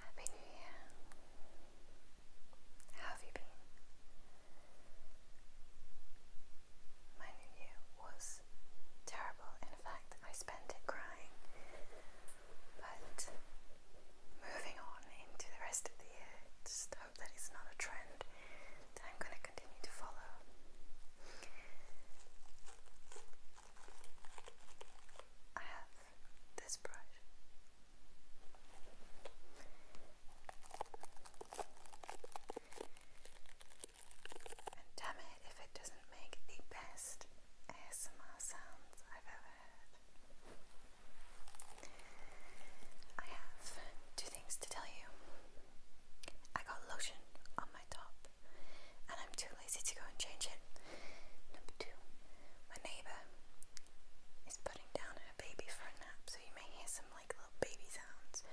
Happy New Year. How have you been? My New Year was terrible. In fact, I spent it crying. But moving on into the rest of the year, just hope that it's not a trend that I'm going to continue to follow. I have this brush. And damn it if it doesn't make the best ASMR sounds I've ever heard. I have two things to tell you. I got lotion on my top, and I'm too lazy to go and change it. Number two, my neighbour is putting down her baby for a nap, so you may hear some like little baby sounds.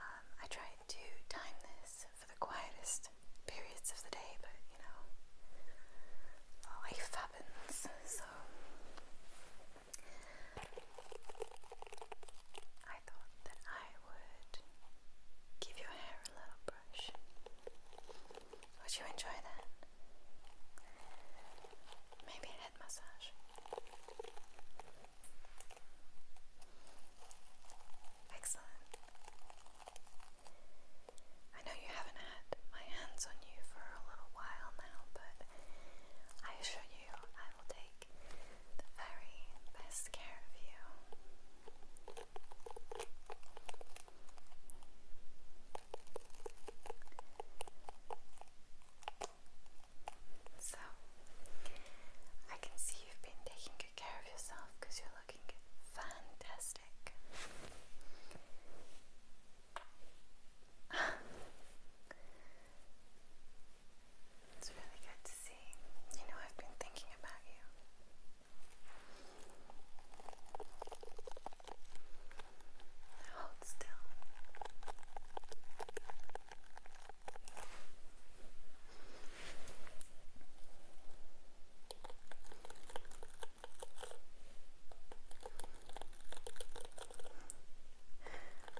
Um, I tried to time this for the quietest periods of the day, but you know, life happens, so. I thought that I would give your hair a little brush. Would you enjoy that? Maybe a head massage. Excellent. I know you haven't had my hands on you for a little while now, but I assure you I will take the very best care of you. So, I can see you've been taking good care of yourself because you're looking fantastic. It's really good to see. You know, I've been thinking about you. hold still.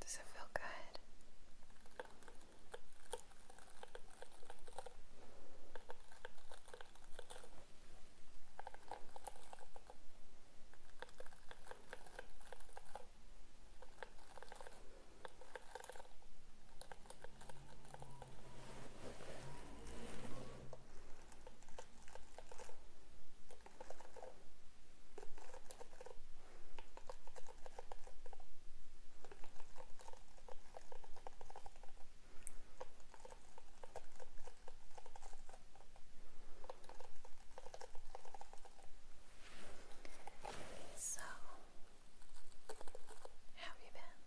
Does it feel good? So, have you been?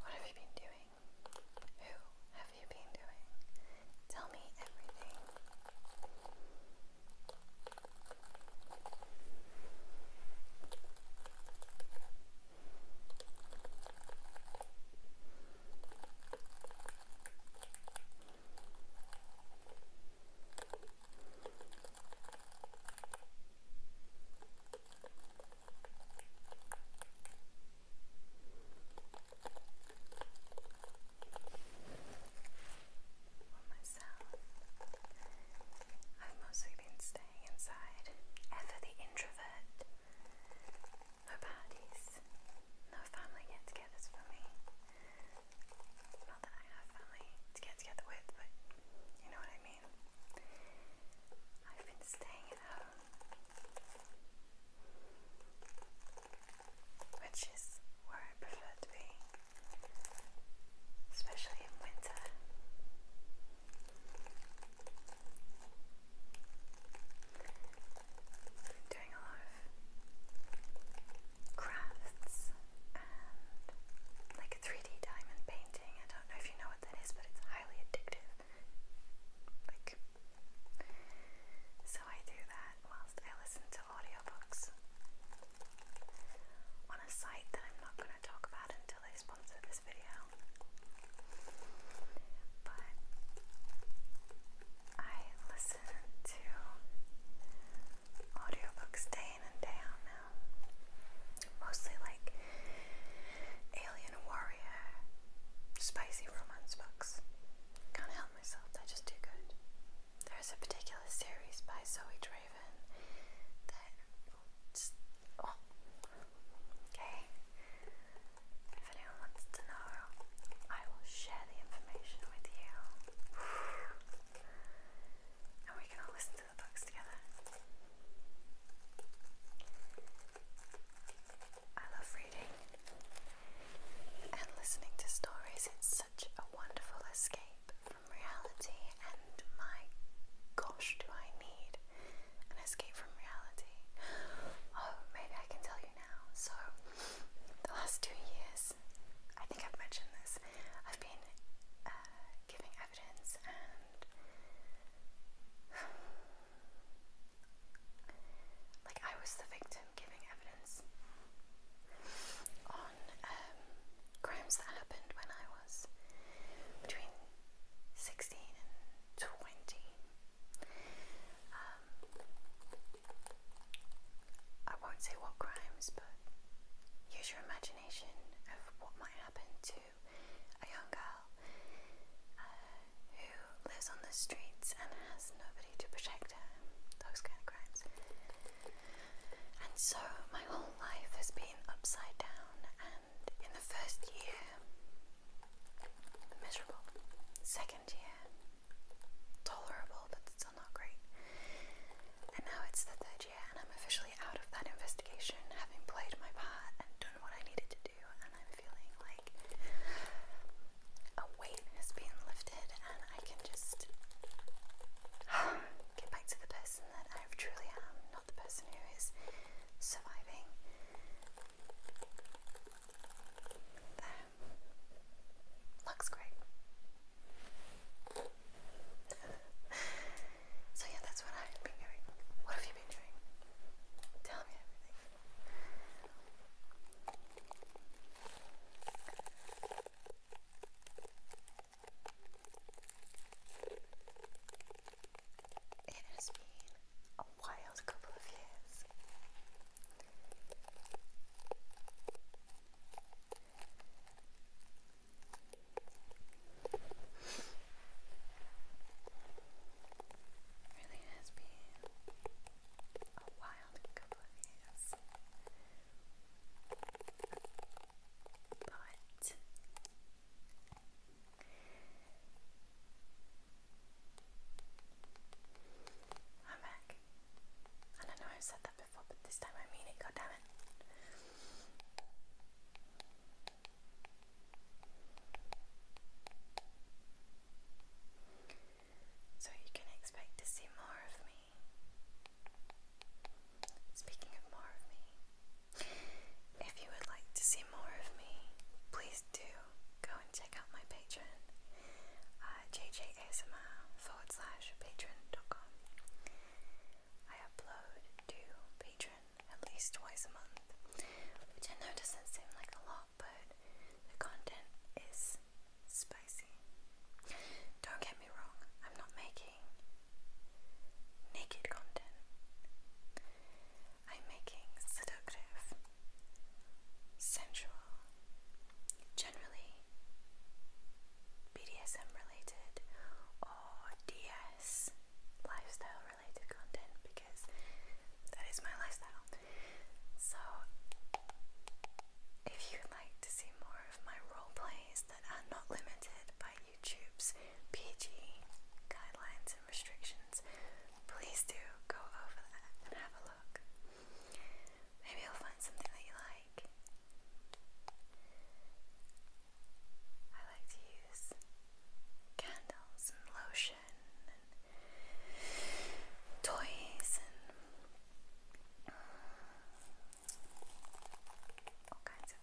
What have you been doing? Who have you been doing? Tell me everything myself, I've mostly been staying inside, ever the introvert. No parties, no family get togethers for me. Not that I have family to get together with, but you know what I mean mean, I've been staying at home, which is where I prefer to be, especially in winter. Doing a lot of crafts like a 3D diamond painting. I don't know if you know what that is, but it's highly addictive. Like, so I do that whilst I listen to audiobooks on a site that I'm not going to talk about until they sponsor this video. But I listen to audiobooks day and day out now. Mostly like Alien Warrior, spicy romance books. Can't help myself, they just do good. There's a particular series by Zoe Draven that. Oh, okay. If anyone wants to know, I will share the information with you. And we can all listen I love reading and listening to stories. It's such a wonderful escape from reality, and my gosh, do I need an escape from reality? Oh, maybe I can tell you now. So, the last two years I think I've mentioned this, I've been uh, giving evidence and like I was the victim giving evidence on um, crimes that happened when I was between 16 and 20. Um, I won't say what crimes, but use your imagination of what might happen to a young girl uh, who lives on the streets and has nobody to protect her. Those kind of crimes. And so my whole life has been upside down, and in the first year, miserable. Second year, tolerable, but still not great. And now it's the third year, and I'm officially out of that investigation, having played my part and done what I needed to do, and I'm feeling like a weight has been lifted, and I can just get back to the person that I truly am, not the person who is surviving. Looks great. so yeah, that's what I've been doing. What have you been doing? Tell me everything. It has been a wild couple of years. Really has been a wild couple of years, but I'm back. And I know I've said that before, but this time I mean it, goddammit. So you can expect to see more of me. Speaking of more of me, if you would like to see more of me, please do go and check out my Patreon, uh, jjasmr forward slash patreon.com. I upload to Patreon at least twice a month, which I know doesn't seem like a lot, but the content is spicy. Don't get me wrong, I'm not making naked content. I'm making seductive, sensual, generally BDSM related or DS lifestyle related content because that is my lifestyle. So, if you'd like to see more of my role plays that are not limited by YouTube's PG guidelines and restrictions, please do go over that and have a look. Maybe you'll find something that you like. I like to use candles and lotion and toys and all kinds of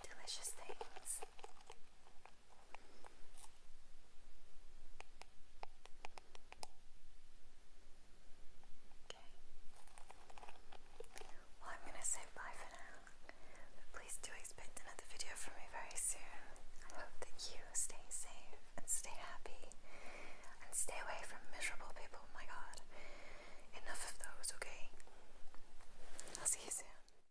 delicious things. Well, I'm going to say bye for now. please do expect another video from me very soon. I hope that you stay safe and stay happy and stay away from miserable people. Oh my god. Enough of those, okay? I'll see you soon.